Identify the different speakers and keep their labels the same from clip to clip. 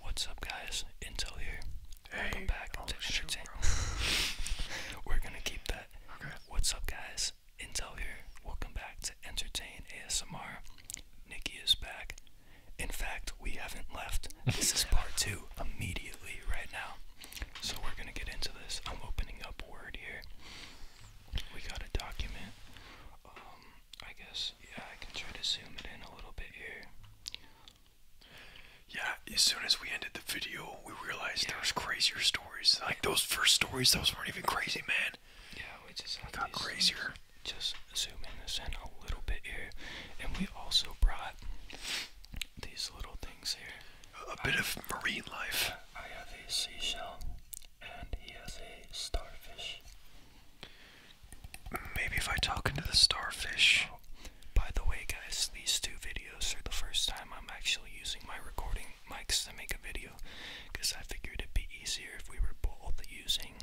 Speaker 1: What's up, guys? Intel here. Welcome back to shoot, We're gonna keep that. What's up, guys? Intel here. Welcome back to Entertain ASMR. Nikki is back. In fact, we haven't left. This is part two immediately right now. So we're gonna get into this. I'm opening up Word here. We got a document. Um, I guess, yeah, I can try to zoom it in a little bit here. Yeah, as soon as we ended the video, we realized there was crazier stories. Like those first stories, those weren't even crazy, man. Yeah, we just got crazier. Just zooming this in a little bit here, and we also brought these little things here. A, bit of marine life. I have a seashell, and he has a starfish. Maybe if I talk into the starfish. by the way, guys, these two videos are the first time I'm actually using my recording mics to make a video because I figured it'd be easier if we were both using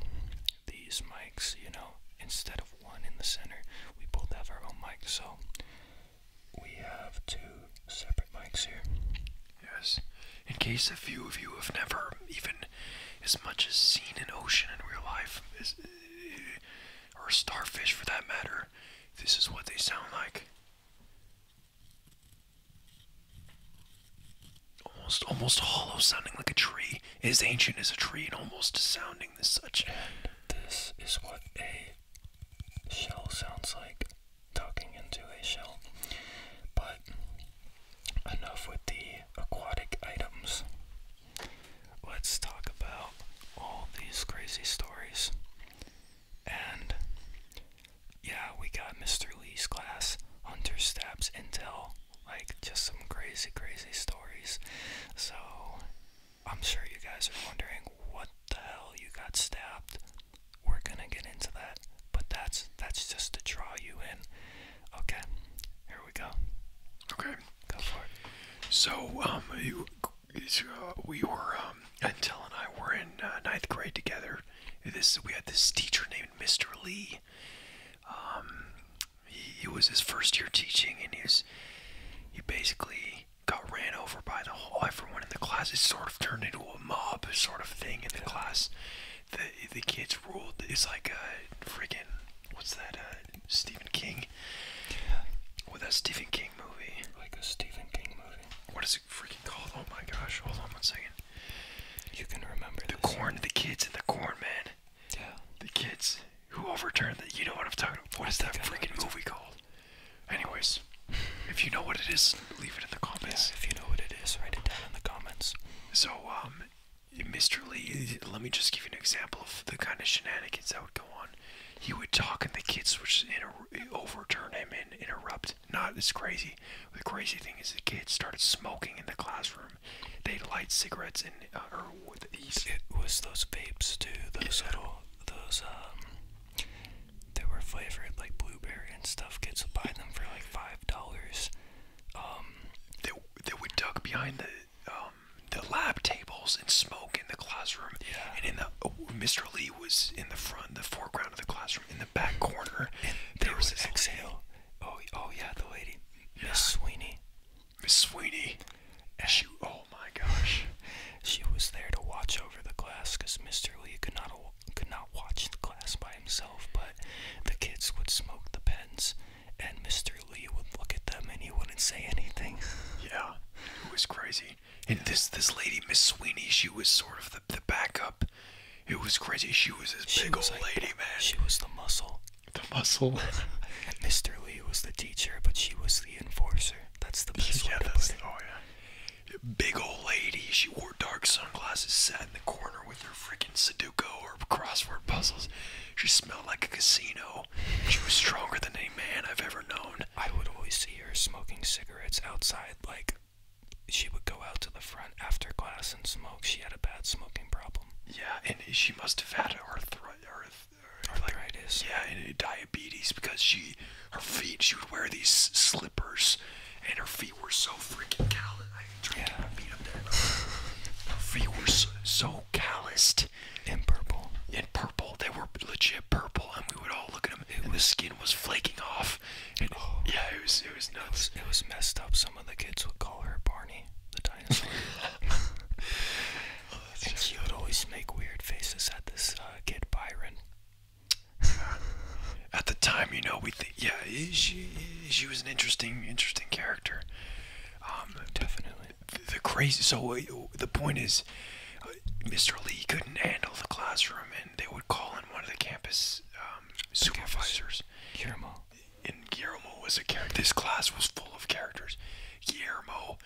Speaker 1: these mics, you know, instead of one in the center. We both have our own mic, so we have two separate mics here. Yes. In case a few of you have never even as much as seen in ocean in real life, or starfish for that matter. This is what they sound like. Almost, almost hollow, sounding like a tree. As ancient as a tree, and almost sounding such. And this is what a shell sounds like, talking into a shell. But enough with the aquatic items. Let's talk about all these crazy stories. And yeah, we got Mr. Lee's class, Hunter Stabs Intel, like just some crazy, crazy stories. So I'm sure you guys are wondering what the hell you got stabbed. We're gonna get into that, but that's that's just to draw you in. Okay, here we go. Okay, go for it. So, um, you, uh, we were, um, until and I were in uh, ninth grade together. This we had this teacher named Mr. Lee. Um, he, was his first year teaching, and he he basically got ran over by the whole everyone in the class. It sort of turned into a mob sort of thing in the class the the kids ruled. It's like a uh, freaking what's that? Uh, Stephen King. With that Stephen King movie. Like a Stephen King movie. What is it freaking called? Oh my gosh! Hold on one second. You can remember the corn, the kids, and the corn man. Yeah. The kids who overturned the. You know what I'm talking about? What is that freaking movie called? Anyways, if you know what it is, leave it in the comments. if you know what it is, write it down in the comments. So um, Mr. Lee, let me just give you an example of the kind of shenanigans that would go on. He would talk, and the kids would just overturn him and interrupt. Not as crazy. The crazy thing is, the kids started smoking in the classroom. They'd light cigarettes and uh, or It was those vapes too. Those little those um. They were flavored like blueberry and stuff. Kids would buy them for like five dollars um, that that would duck behind the um, the lab tables and smoke in the classroom. Yeah. And in the oh, Mr. Lee was in the front, the foreground of the classroom, in the back corner. And there, was, was exhale. Oh, oh yeah, the lady, Miss Sweeney. Miss Sweeney. And she, oh my gosh. She was there to watch over the class because Mr. Lee could not could not watch the class by himself, but the kids would smoke the pens and Mr. Lee would look at them and he wouldn't say anything. Yeah, it was crazy. And this this lady, Miss Sweeney, she was sort of the, the backup. It was crazy. She was this big was old lady, man. She was the muscle. The muscle. and Mr. Lee was the teacher, but she was the enforcer. That's the best yeah, Oh yeah. Big old lady. She wore dark sunglasses, sat in the corner with her freaking Sudoku or crossword puzzles. She smelled like a casino. She was stronger than any man I've ever known. I would always see her smoking cigarettes outside. Like, she would go out to the front after class and smoke. She had a bad smoking problem. Yeah, and she must have had arthritis. yeah, and diabetes because she, her feet, she would wear these slippers, and her feet were so freaking callous trying yeah. to up there. Feet were so, calloused. And purple. And purple. They were legit purple, and we would all look at them. and the skin was flaking off. Oh. yeah, it was it was nuts. It was, messed up. Some of the kids would call her Barney, the dinosaur. Oh, and she would always make weird faces at this uh, kid Byron. At the time, you know, we think, yeah, she she was an interesting, interesting character. Um, definitely. The, crazy. So uh, the point is, uh, Mr. Lee couldn't handle the classroom, and they would call in one of the campus um, supervisors. Campus. Guillermo. And Guillermo was a character. This class was full of characters. Guillermo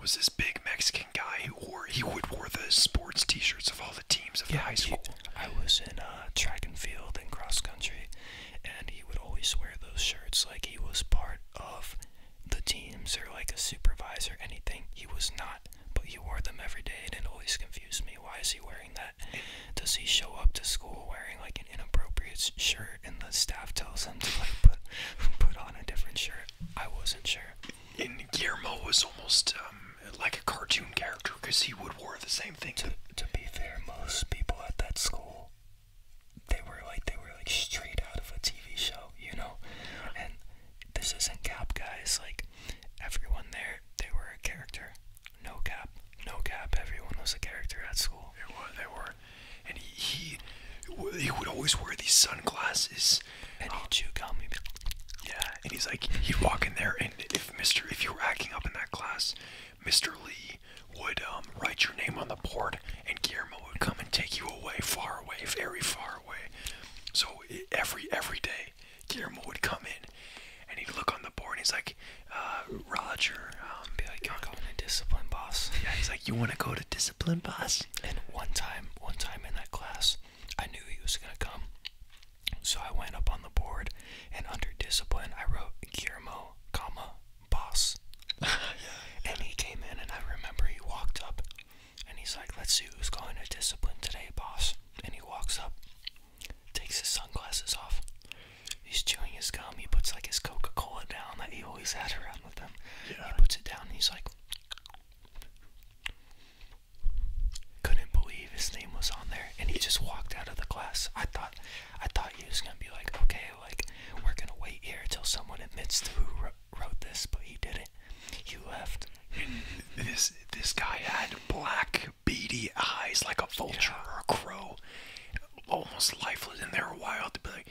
Speaker 1: was this big Mexican guy who wore he would wear the sports T-shirts of all the teams of the high school. I was in uh, track and field and cross country, and he would always wear those shirts like he was part of the teams or like a supervisor, anything. He was not, but he wore them every day, and it always confused me. Why is he wearing that? Does he show up to school wearing like an inappropriate shirt, and the staff tells him to like put put on a different shirt? I wasn't sure. And Guillermo was almost um, like a cartoon character because he would wear the same thing. To, to be fair, most people at that school they were like they were like straight out of a TV show, you know. And this isn't cap, guys. Like everyone there, they were a character. No cap, no cap. Everyone was a character at school. They were, they were. And he he, would always wear these sunglasses. Um, yeah, and he's like he'd walk in there, and if Mister, if you were acting up in that class, Mister Lee would um, write your name on the board, and Guillermo would come and take you away, far away, very far away. So every every day, Guillermo would come in, and he'd look on the board. and He's like, uh, Roger, um, be like, you're going to discipline, boss. Yeah, he's like, you want to go to discipline, boss? And one time, one time in that class, I knew he was gonna come, so I went up on the board, and under discipline, I wrote Guillermo, comma boss. and he came in, and I remember he walked up and he's like, Let's see who's going to discipline today, boss. And he walks up, takes his sunglasses off. He's chewing his gum. He puts like his Coca Cola down that he always had around with him. He puts it down, and he's like, couldn't believe his name was on there and he just walked out of the class. I thought I thought he was gonna be like, okay, like we're gonna wait here till someone admits to who wrote this, but he didn't. You left. This this guy had black beady eyes like a vulture or a crow, almost lifeless, and they were wild. To be like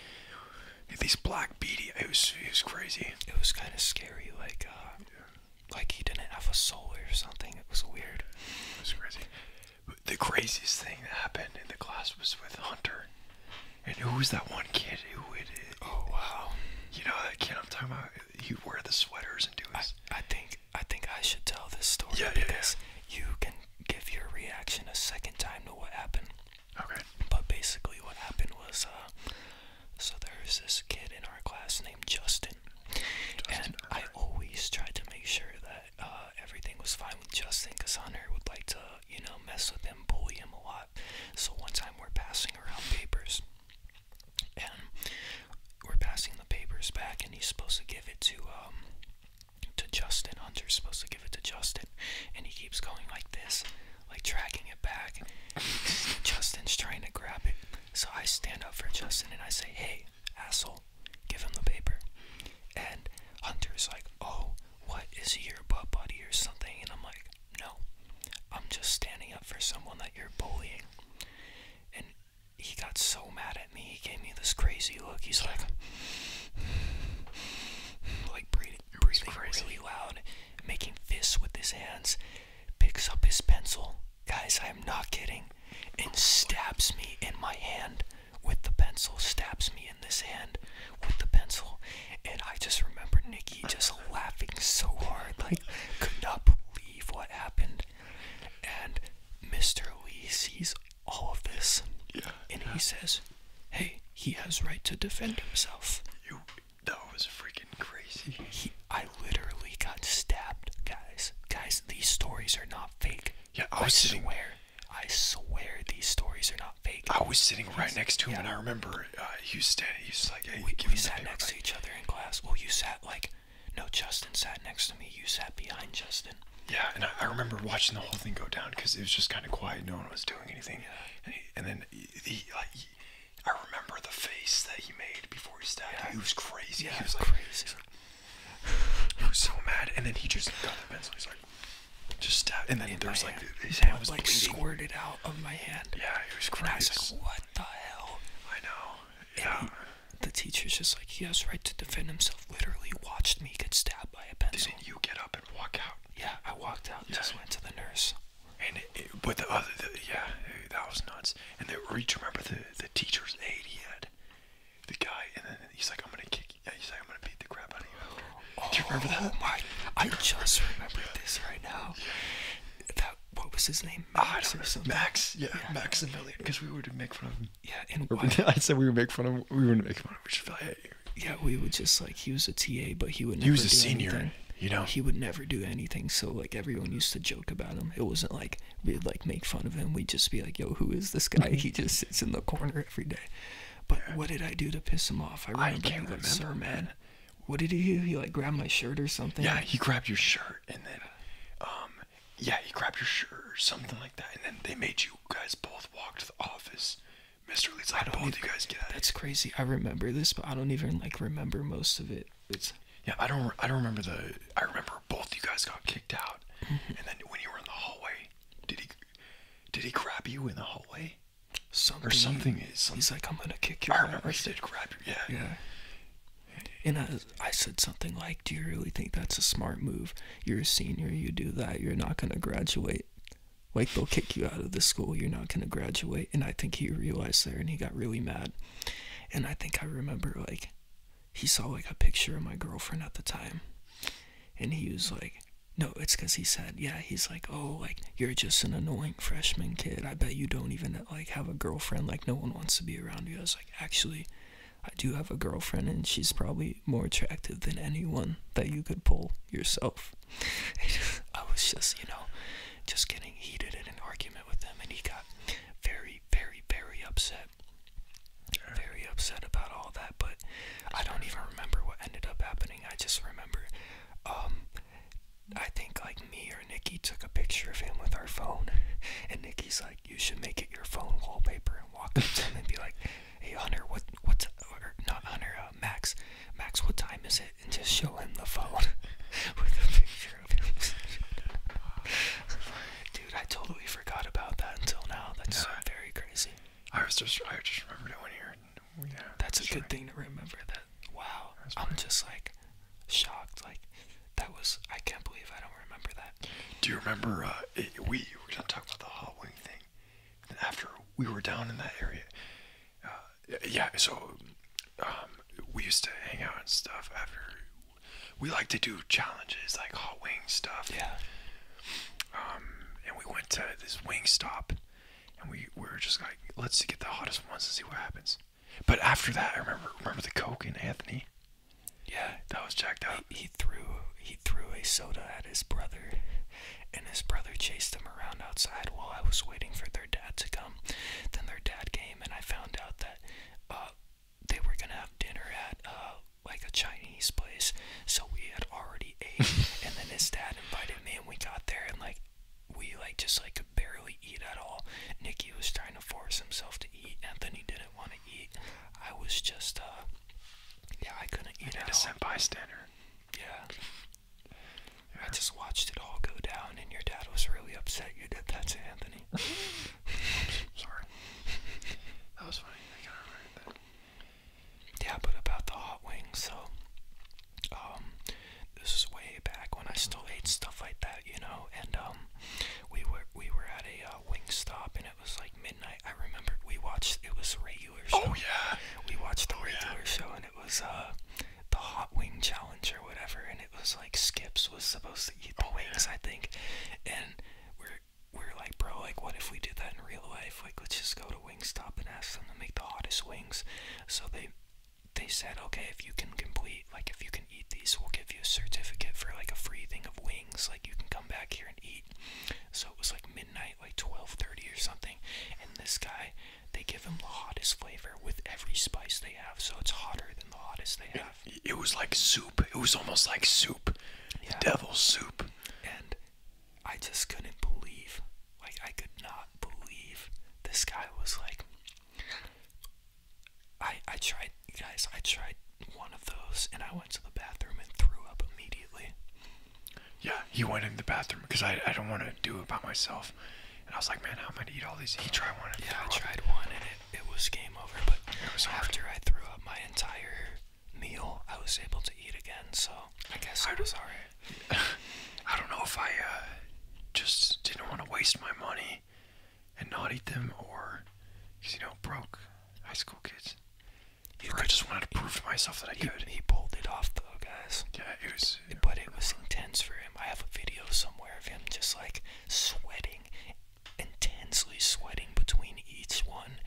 Speaker 1: these black beady, it was it was crazy. It was kind of scary, like uh, like he didn't have a soul or something. It was weird. It was crazy the craziest thing that happened in the class was with Hunter. And who was that one kid who would? Oh wow! You know that kid I'm talking about. He'd wear the sweaters and do his. I, think I think I should tell this story because you can give your reaction a second time to what happened. Okay. But basically, what happened was, uh, so there's this kid in our class named Justin, and I always tried to make sure that uh, everything was fine with Justin because Hunter would like to, you know, mess with him, bully him a lot. So one time we're passing around papers, and we're passing the papers back, and he's supposed to give it to um to Justin. Hunter's supposed to give it to Justin, and he keeps going like this, like tracking it back. Justin's trying to grab it, so I stand up for Justin and I say, "Hey, asshole, give him the paper. And Hunter's like, oh, what is he your butt buddy or something? And I'm like, no, I'm just standing up for someone that you're bullying. And he got so mad at me, he gave me this crazy look. He's like, like breathing, breathing really loud, making fists with his hands, picks up his pencil. Guys, I'm not kidding, and stabs me in my hand with the pencil, stabs me in this hand with the pencil. And I just remember Nicky just laughing so hard, like, could not believe what happened. And Mr. Lee sees all of this. and he says, Hey, he has right to defend himself. You that was freaking crazy. I literally got stabbed, guys. Guys, these stories are not fake. Yeah, I was sitting where I swear these stories are not fake. I was sitting right next to him, and I remember uh, he was standing. He was like, "Hey, we, we sat next to each other in class." Well, you sat like, no, Justin sat next to me. You sat behind Justin. Yeah, and I, remember watching the whole thing go down because it was just kind of quiet. No one was doing anything, yeah. and, then he, like. I remember the face that he made before he stabbed. He was crazy. Yeah, he was like, crazy. He was so mad, and then he just got the pencil. He's like, just stabbed. And then there was like his hand was like squirted out of my hand. Yeah, he was crazy. And I was like, what the hell? I know. Yeah. the teacher's just like, he has right to defend himself. Literally watched me get stabbed by a pencil. did you get up and walk out? Yeah, I walked out. Yeah. Just went to the nurse. And with the other, yeah, that was nuts. And the, remember the the teacher's aide had the guy, and then he's like, "I'm gonna kick you." He's like, "I'm gonna beat the crap out of you." Do you remember that? Oh, I just remember this right now. That what was his name? Max. I Max. Yeah, yeah. Maximilian. Because we were to make fun of him. Yeah, and I said we would make fun of him. We would make fun of him. We just like, Yeah, we would just like he was a TA, but he would. he was a senior. You know, he would never do anything. So like everyone used to joke about him. It wasn't like we'd like make fun of him. We'd just be like, "Yo, who is this guy? he just sits in the corner every day. But what did I do to piss him off? I remember. I sir, man. What did he do? He like grabbed my shirt or something. Yeah, he grabbed your shirt, and then, um, yeah, he grabbed your shirt or something like that, and then they made you guys both walk to the office. Mr. Lee's like, both you guys get out. That's crazy. I remember this, but I don't even like remember most of it. yeah, I don't. I don't remember the. I remember both you guys got kicked out, mm-hmm. and then when you were in the hallway, did he? Did he grab you in the hallway? or something is. He's like, I'm gonna kick your. I remember he said, grab you. Yeah. Yeah. And I, I said something like, "Do you really think that's a smart move? You're a senior. You do that. You're not gonna graduate. Like they'll kick you out of the school. You're not gonna graduate." And I think he realized that, and he got really mad. And I think I remember like he saw like a picture of my girlfriend at the time and he was like no it's because he said yeah he's like oh like you're just an annoying freshman kid i bet you don't even like have a girlfriend like no one wants to be around you i was like actually i do have a girlfriend and she's probably more attractive than anyone that you could pull yourself i was just you know just getting heated in an argument with him and he got very very very upset very upset about all that, but I don't even remember what ended up happening. I just remember, um, I think like me or Nikki took a picture of him with our phone, and Nikki's like, "You should make it your phone wallpaper," and walk up to him and be like, "Hey Hunter, what what's or not Hunter, uh, Max, Max, what time is it?" And just show him the phone with a picture of him. Dude, I totally forgot about that until now. That's very crazy. I was just I just remembered it when you that's, a good thing to remember. That wow, I'm just like shocked. Like that was I can't believe I don't remember that. Do you remember? Uh, we were going about the hot wing thing. after we were down in that area, uh, yeah. So um, we used to hang out and stuff after. We like to do challenges like hot wing stuff. Yeah. Um, and we went to this wing stop and we, were just like, let's get the hottest ones and see what happens. But after that, I remember remember the Coke and Anthony. Yeah, that was jacked up. He, he threw he threw a soda at his brother, and his brother chased him around outside while I was waiting for their dad to come. Then their dad came, and I found out that uh, they were gonna have dinner at uh, like a Chinese place, so we had already ate. and then his dad invited me, and we got there, and like we like just like could barely eat at all. Nikki was trying to force himself to eat. Anthony didn't want to eat. I was just uh, yeah, I couldn't eat I at all. bystander. Yeah. I just watched it all go down, and your dad was really upset you did that to Anthony. sorry. That was funny. Yeah, but about the hot wings, so um, this is way back when I still ate stuff like that, you know, and um, we were we were at a uh, wing stop and it was like midnight. I remember we watched it was a regular oh, show. Oh yeah. We watched the oh, regular show and it was uh, the hot wing challenge or whatever and it was like Skips was supposed to eat the oh, wings, I think. And we're we are like, bro, like, what if we do that in real life? Like, let's just go to Wingstop and ask them to make the hottest wings. So they they said, okay, if you can complete, like, if you can eat these, we'll give you a certificate for like a free thing of wings. Like, you can come back here and eat. So it was like midnight, like twelve thirty or something. And this guy, they give him the hottest flavor with every spice they have. So it's hotter than the hottest they have. It, was like soup. It was almost like soup, yeah. devil's soup and I just couldn't believe like I could not believe this guy was like I I tried guys I tried one of those and I went to the bathroom and threw up immediately. Yeah, he went in the bathroom because I I don't want to do it by myself. And I was like, man, I'm gonna eat all these. He tried one. And yeah, I tried one and it, it was game over. But it was after I threw up, my entire meal, I was able to eat again. So I guess I was sorry. I don't know if I uh, just didn't want to waste my money and not eat them, or cause you know broke high school kids. You I just wanted to prove to myself that I he, could. He pulled it off though, guys. Yeah, it was. It, but it was intense for him. I have a video somewhere of him just like sweating intensely sweating between each one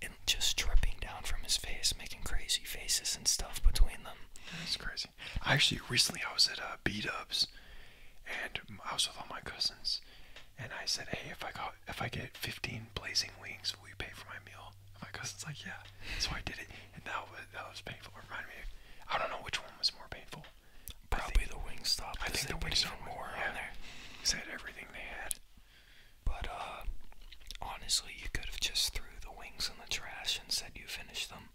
Speaker 1: and just dripping down from his face, making crazy faces and stuff between them. It's crazy. I actually recently I was at uh, B Dubs, and I was with all my cousins, and I said, "Hey, if I got if I get 15 blazing wings, will you pay for my meal?" my cousin's like, "Yeah." So I did it, and that was that was painful. It reminded me. Of, I don't know which one was more painful. Probably the wings. stop. I think the wings are more They had everything they had. But uh, honestly, you could have just threw the wings in the trash and said you finished them.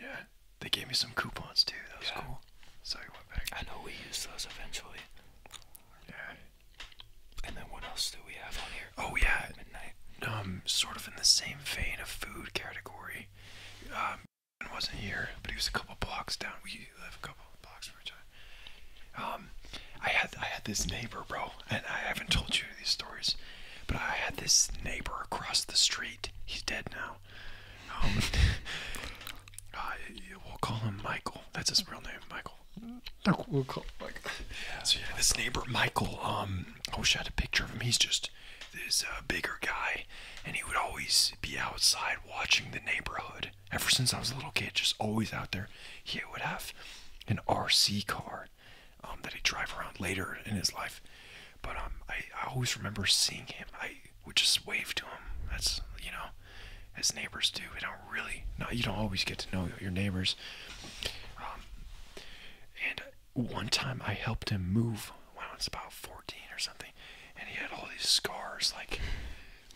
Speaker 1: Yeah, they gave me some coupons too. That was cool. So I went back. I know we used those eventually. Yeah. And then what else do we have on here? Oh yeah, midnight. Um, sort of in the same vein of food category. Um, wasn't here, but he was a couple blocks down. We um, I had I had this neighbor, bro, and I haven't told you these stories, but I had this neighbor across the street. He's dead now. Um, uh, we'll call him Michael. That's his real name, Michael. We'll call Michael. Yeah, so yeah, this neighbor Michael. Um, I wish I had a picture of him. He's just this uh, bigger guy, and he would always be outside watching the neighborhood ever since I was a little kid, just always out there, he would have an RC car um, that he'd drive around later in his life. But um, I, always remember seeing him. I would just wave to him. That's, you know, as neighbors do. We don't really, no, you don't always get to know your neighbors. Um, and one time I helped him move when I was about 14 or something. And he had all these scars, like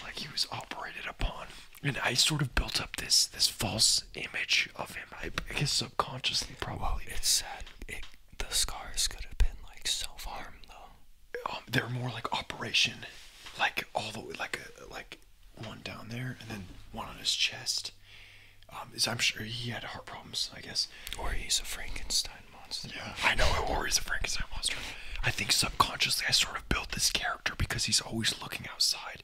Speaker 1: like he was operated upon. And I sort of built up this this false image of him. I, guess subconsciously, probably. Well, it's sad. the scars could have been like self harm, though. Um, they're more like operation, like all the way, like uh, like one down there, and then one on his chest. Um, is I'm sure he had heart problems, I guess. Or he's a Frankenstein monster. Yeah, I know. Or he's a Frankenstein monster. I think subconsciously I sort of built this character because he's always looking outside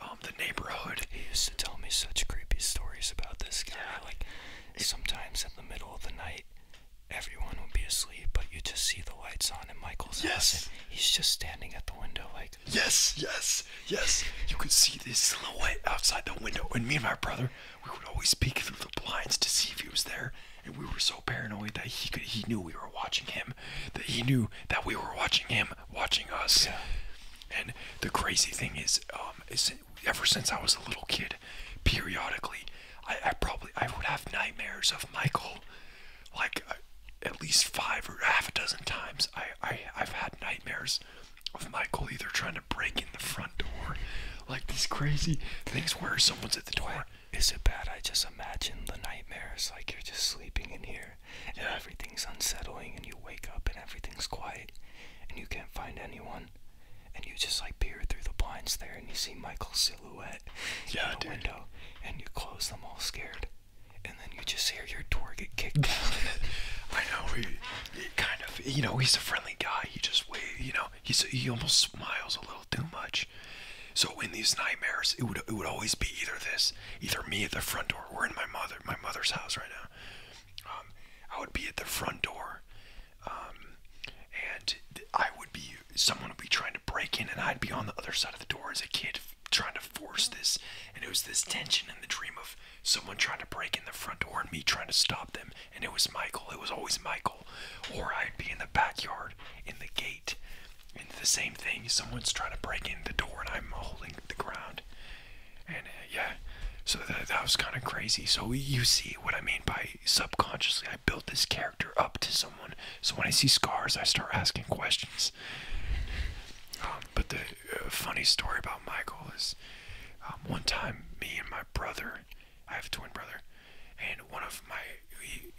Speaker 1: um, the neighborhood. He used to tell me such creepy stories about this guy. Yeah. Like sometimes in the middle of the night, everyone would be asleep, but you just see the lights on in Michael's house. And he's just standing at the window, like yes, yes, yes. You could see this silhouette outside the window, and me and my brother, we would always peek through the blinds to see if he was there and we were so paranoid that he he knew we were watching him that he knew that we were watching him watching us and the crazy thing is um, ever since i was a little kid periodically i, probably i would have nightmares of michael like uh, at least five or half a dozen times I, I i've had nightmares of michael either trying to break in the front door like these crazy things where someone's at the door is it bad? I just imagine the nightmares like you're just sleeping in here and everything's unsettling and you wake up and everything's quiet and you can't find anyone and you just like peer through the blinds there and you see Michael's silhouette yeah, in the window and you close them all scared and then you just hear your door get kicked I know he, kind of you know he's a friendly guy. He just wait you know he's he almost smiles a little too much. So in these nightmares, it would it would always be either this, either me at the front door. We're in my mother my mother's house right now. Um, I would be at the front door, um, and I would be someone would be trying to break in, and I'd be on the other side of the door as a kid trying to force this. And it was this tension in the dream of someone trying to break in the front door and me trying to stop them. And it was Michael. It was always Michael. Or I'd be in the backyard in the gate and the same thing, someone's trying to break in the door and I'm holding the ground. And uh, yeah, so that, that was kind of crazy. So you see what I mean by subconsciously, I built this character up to someone. So when I see scars, I start asking questions. Um, but the uh, funny story about Michael is um, one time, me and my brother, I have a twin brother, and one of my,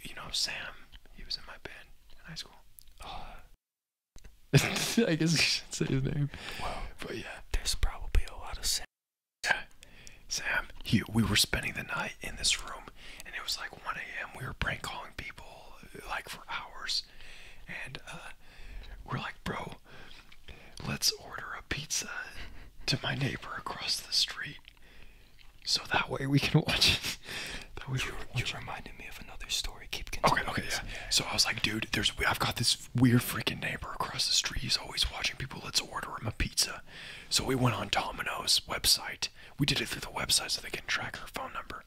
Speaker 1: you know, Sam, he was in my band in high school. I guess you should say his name. Well, but yeah, there's probably a lot of Sam. Yeah. Sam, he, we were spending the night in this room, and it was like 1 a.m. We were prank calling people like for hours, and uh, we're like, bro, let's order a pizza to my neighbor across the street. So that way we can watch it. that way you, you reminded me of another story. Keep continuing. Okay, okay, yeah. So I was like, dude, there's I've got this weird freaking neighbor across the street. He's always watching people. Let's order him a pizza. So we went on Domino's website. We did it through the website so they can track her phone number.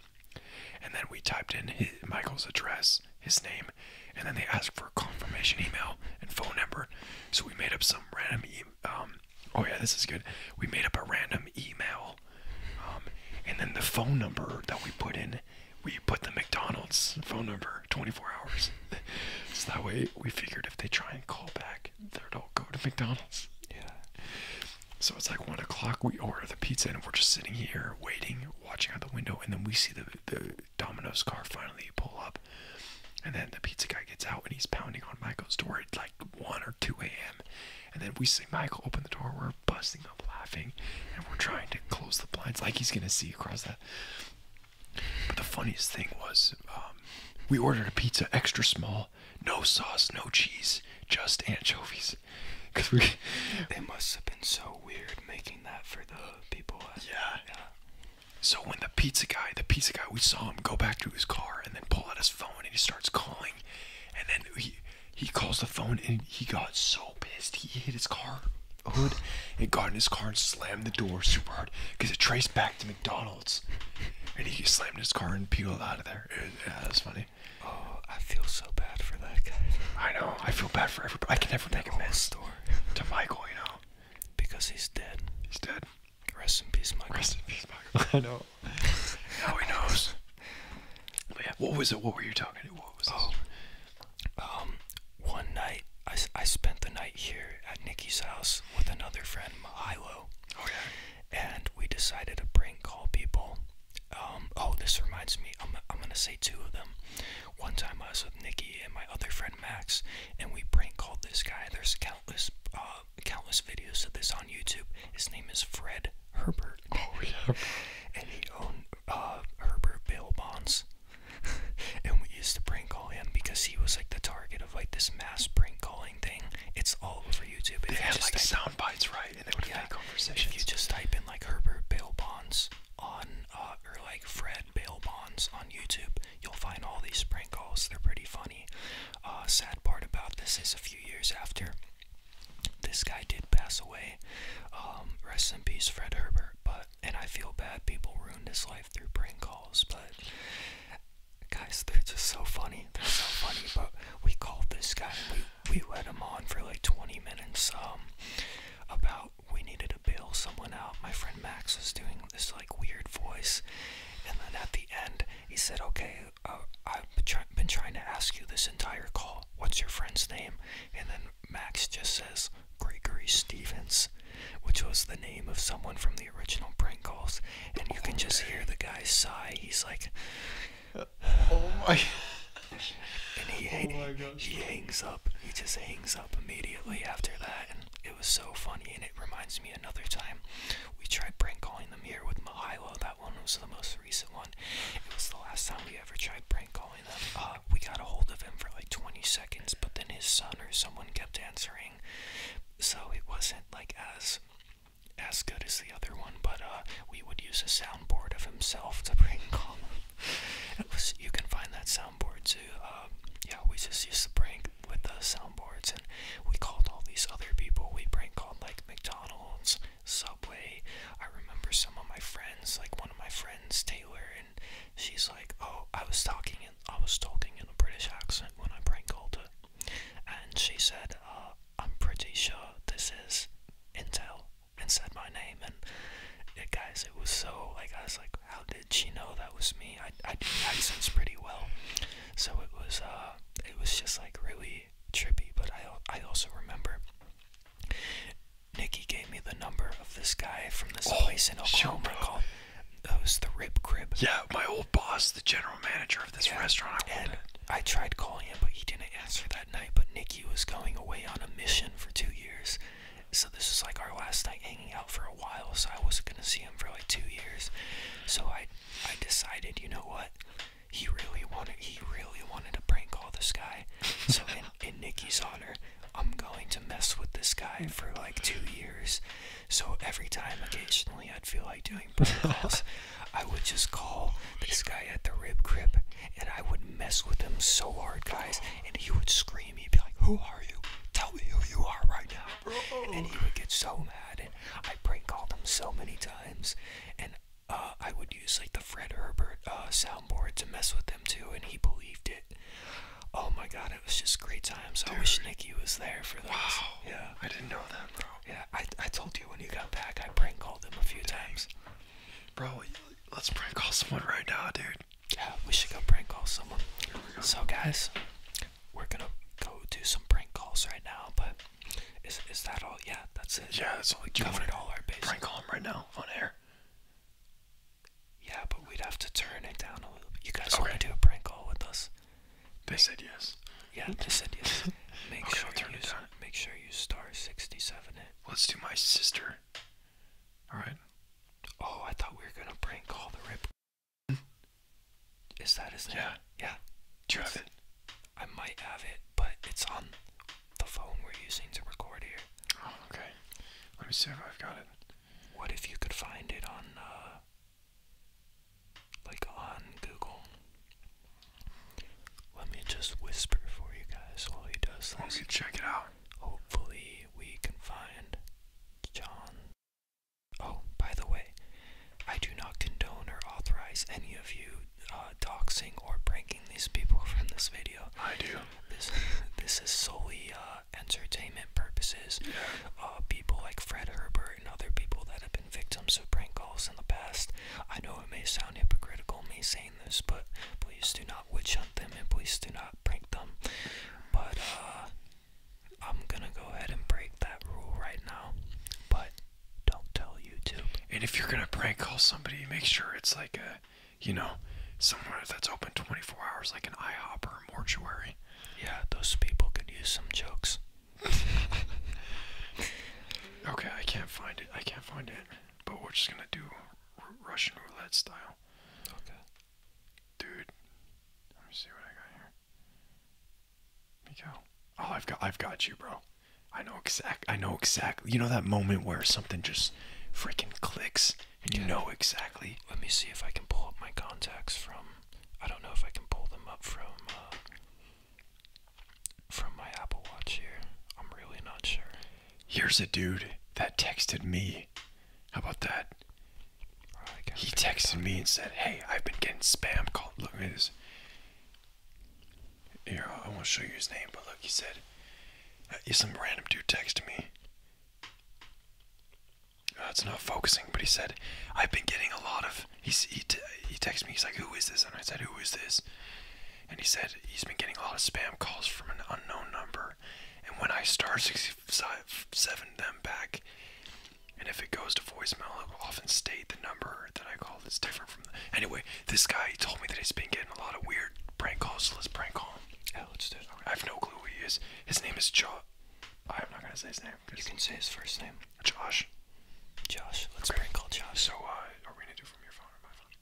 Speaker 1: And then we typed in Michael's address, his name, and then they asked for a confirmation email and phone number. So we made up some random email. Um, oh yeah, this is good. We made up a random email, um, and then the phone number that we put in, we put the McDonald's phone number 24 hours. so that way, we figured if they try and call back, they'd all go to McDonald's. Yeah. So it's like one o'clock. We order the pizza, and we're just sitting here waiting, watching out the window, and then we see the the Domino's car finally pull up, and then the pizza guy gets out, and he's pounding on Michael's door. like. 1 or 2 a.m. And then we see Michael open the door. We're busting up laughing. And we're trying to close the blinds like he's going to see across that. But the funniest thing was um, we ordered a pizza extra small. No sauce, no cheese, just anchovies. Cause we, it must have been so weird making that for the people. yeah. yeah. So when the pizza guy, the pizza guy, we saw him go back to his car and then pull out his phone and he starts calling and then he he calls the phone and he got so pissed he hit his car hood and got in his car and slammed the door super hard because it traced back to McDonald's and he slammed his car and peeled out of there. yeah, that's funny. Oh, I feel so bad for that guy. I know. I feel bad for everybody. I can never take a mess store to Michael, you know, because he's dead. He's dead. Rest in peace, Mike. Rest in peace, Mike. I know. Now he knows. yeah, what was it? What were you talking? About? What was it? Oh, um, one night I, I spent the night here at Nikki's house with another friend, Milo. Oh yeah. And we decided to prank call people. Um, oh, this reminds me. I'm I'm gonna say two of them. One time I was with Nikki and my other friend Max, and we prank called this guy. There's countless uh, countless videos of this on YouTube. His name is Fred Herbert. Oh yeah. and he owned uh, Herbert Bail Bonds. and we used to prank call him because he was like the target of like this mass prank calling thing. It's all over YouTube. They if had like sound bites, right? And they would yeah, make conversations. If you just type in like Herbert Bail Bonds on, uh, or like Fred Bail Bonds on YouTube, you'll find all these prank calls. They're pretty fun. Uh, sad part about this is a few years after this guy did pass away. Um, rest in peace, Fred Herbert. But and I feel bad people ruined his life through prank calls. But guys, they're just so funny. They're so funny. But we called this guy. we we let him on for like 20 minutes. Um, about we needed to bail someone out. My friend Max was doing this like weird voice, and then at the end he said, "Okay, uh, I've been, trying to ask you this entire call. What's your friend's name? And then Max just says Gregory Stevens, which was the name of someone from the original prank calls. And you can just hear the guy sigh. He's like, Oh my. and he, oh he hangs up. He just hangs up immediately after that. And it was so funny. And it reminds me another time we tried prank calling calling them with Mihailo. That one was the most recent one. It was the last time we ever tried prank calling them. Uh, we got a hold of him for like 20 seconds, but then his son or someone kept answering. So it wasn't like as as good as the other one, but uh, we would use a soundboard of himself to prank call him. you can find that soundboard too. Uh, yeah, we just used to prank with the soundboards, and we called all these other people. We prank called like McDonald's, Subway. I remember some of my friends, like one of my friends, Taylor, and she's like, "Oh, I was talking in I was talking in a British accent when I prank called her," and she said, uh, "I'm pretty sure this is Intel," and said my name and. Yeah, guys, it was so like I was like, how did she know that was me? I I do accents pretty well, so it was uh uh, it was just like really trippy. But I, I also remember Nikki gave me the number of this guy from this oh, place in Oklahoma sure, called. It was the Rib Crib. Yeah, my old boss, the general manager of this restaurant. I and I tried calling him, but he didn't answer that night. But Nikki was going away on a mission for two years, so this was like our last night hanging out for a while. So I wasn't gonna see him for like two years. So I I decided, you know what? He really wanted he really wanted to prank call this guy. So in, in Nikki's honor, I'm going to mess with this guy for like two years. So every time occasionally I'd feel like doing prank I would just call this guy at the rib crib and I would mess with him so hard guys and he would scream, he'd be like, Who are you? Tell me who you are right now. Oh. And he would get so mad, and I prank called him so many times, and uh, I would use like the Fred Herbert uh, soundboard to mess with him too, and he believed it. Oh my God, it was just great times. I wish Nikki was there for those. Wow. Yeah. I didn't know that, bro. Yeah, I I told you when you got back, I prank called him a few times. Bro, let's prank call someone right now, dude. Yeah, we should go prank call someone. So guys, we're gonna go do some prank calls right now. But is is that all? Yeah, that's it. Yeah, that's all. We do covered all our bases. Prank call him right now on air. Yeah, but we'd have to turn it down a little. bit. You guys want to do a prank call with us? They said yes. Yeah, they said yes. Make sure i turn you it down. Make sure you star sixty seven Let's do my sister. All right. Oh, I thought we were gonna prank call the rip. Is that his name? Yeah. Yeah. Do you have it? I might have it, but it's on the phone we're using to record here. Oh, okay. Let me see if I've got it. What if you could find it on, uh, like on Google? Let me just whisper for you guys while he does this. Let me check it out. Hopefully, we can find John Oh, by the way, I do not condone or authorize any of you uh, doxing or pranking these people from this video. I do. This this is solely uh, entertainment purposes. Yeah. Uh, people like Fred Herbert and other people that have been victims of prank calls in the past. I know it may sound hypocritical, me saying this, but please do not witch hunt them and please do not prank them. But I'm gonna go ahead and break that rule right now. But don't tell YouTube. And if you're gonna prank call somebody, make sure it's like a, you know, someone that's open 24 hours, like an IHOP or a mortuary. Yeah, those people could use some jokes. okay, I can't find it. I can't find it. But we're just gonna do Russian roulette style. Okay. Dude, let me see what I got here. Oh, I've got, I've got you, bro. I know exact. I know exactly. You know that moment where something just freaking clicks, and you know exactly. Let me see if I can pull up my contacts from. I don't know if I can pull them up from uh, from my Apple Watch here. I'm really not sure. Here's a dude that texted me. How about that? He texted me and said, "Hey, I've been getting spam calls. Look at this. Here, I won't show you his name, but look, he said, uh, some random dude texted me. That's uh, not focusing, but he said, I've been getting a lot of. He's, he, t- he texted me, he's like, Who is this? And I said, Who is this? And he said, He's been getting a lot of spam calls from an unknown number. And when I star 67 them back, and if it goes to voicemail, it will often state the number that I called is different from the. Anyway, this guy told me that he's been getting a lot of weird prank calls, let's prank call him. Yeah, let's do it. I have no clue who he is. His name is Josh. I'm not gonna say his name. You can say his first name. Josh. Josh. Let's prank call Josh. So, uh, are we gonna do it from your phone or my phone?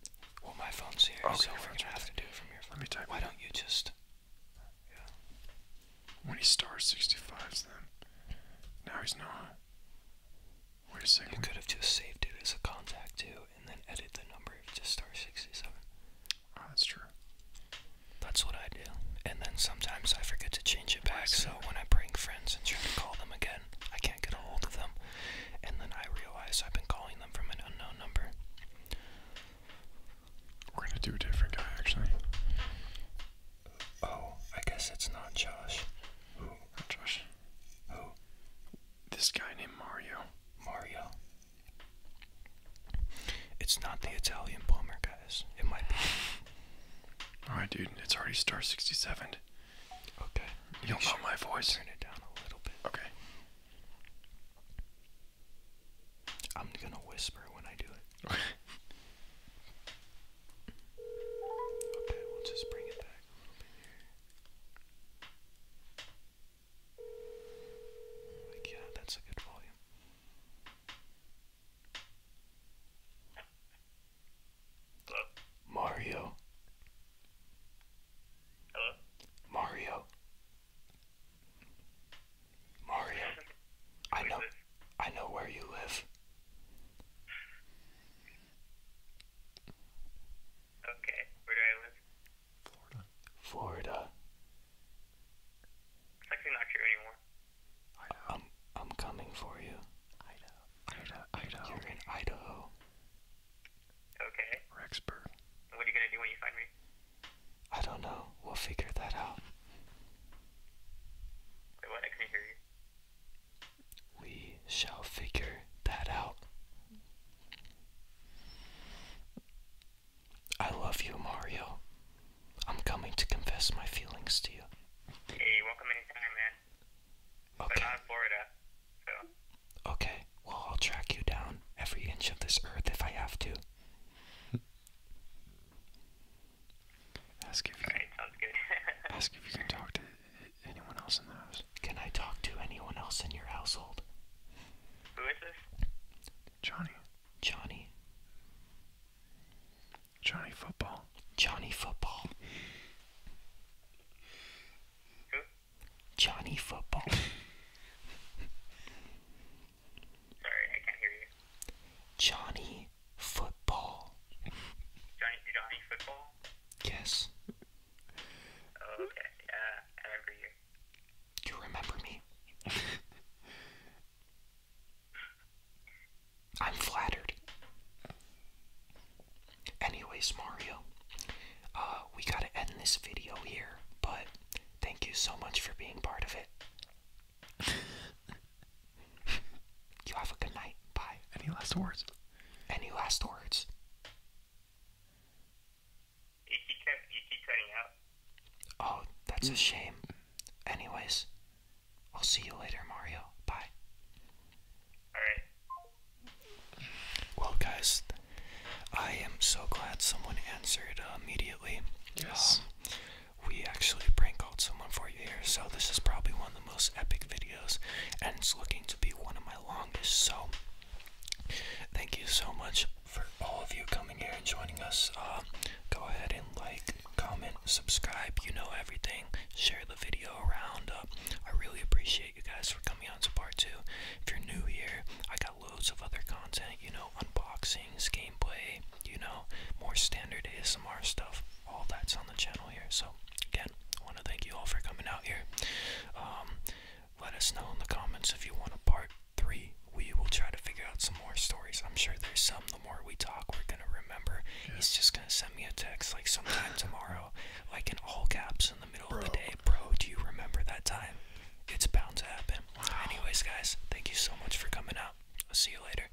Speaker 1: Well, my phone's here, so we're gonna have to do it from here. Let me type. Why don't you just? Yeah. When he stars 65s, then now he's not. We're sick. You could have just saved it as a contact too, and then edit the number to star sixty-seven. Ah, that's true. That's what I do. And then sometimes I forget to change it back, so when I bring friends and try to call them again, I can't get a hold of them. And then I realize I've been calling them from an unknown number. We're gonna do a different guy actually. Oh, I guess it's not Josh. Who? Josh. Who? This guy named Mario. Mario. It's not the Italian plumber, guys. It might be. Alright, dude, it's already star 67. Okay. You will know my voice? Turn it down a little bit. Okay. I'm gonna whisper when I do it. Okay, we'll just bring it back yeah, that's a good volume. Mario. Hello? Mario. Mario. I know. I know where you live. Okay, where do I live? Florida. Florida. It's actually not true anymore. Idaho. I'm, I'm coming for you. Idaho. Idaho. Idaho. You're in Idaho. Okay. Rexburg. What are you gonna do when you find me? I don't know. We'll figure that out. Wait, what? I couldn't hear you. We shall figure that out. I love you, Mario. I'm coming to confess my feelings to you. Hey, welcome anytime, man. Okay. I'm Florida, so. Okay, well, I'll track you down every inch of this earth if I have to. Ask if you can talk to anyone else in the house. Can I talk to anyone else in your household? Who is this? Johnny. Johnny. Johnny Football. Johnny Football. Who? Johnny Football. Sorry, I can't hear you. Johnny football. you, do football? Yes. Oh, okay. Yeah, I remember You remember me? I'm flattered. Anyways, Mario, uh, we gotta end this video here, but thank you so much for being part of it. you have a good night. Bye. Any last words? Any last words? Oh, that's a mm. shame. Anyways, I'll see you later, Mario. Bye. Alright. Well, guys, I am so glad someone answered immediately. Yes. Um, we actually prank called someone for you here. So this is probably one of the most epic videos, and it's looking to be one of my longest. So thank you so much for all of you coming here and joining us. Uh, go ahead and like, comment, subscribe. You know everything. Share the video around. Uh, I really appreciate you guys for coming on to part two. If you're new here, I got loads of other content. You know, unboxings, gameplay you know, more standard ASMR stuff. All that's on the channel here. So, again, I want to thank you all for coming out here. Um, let us know in the comments if you want a part three. We will try to figure out some more stories. I'm sure there's some. The more we talk, we're going to remember. Yeah. He's just going to send me a text like sometime tomorrow, like in all caps in the middle of the day. Bro, do you remember that time? It's bound to happen. Anyways, guys, thank you so much for coming out. I'll see you later.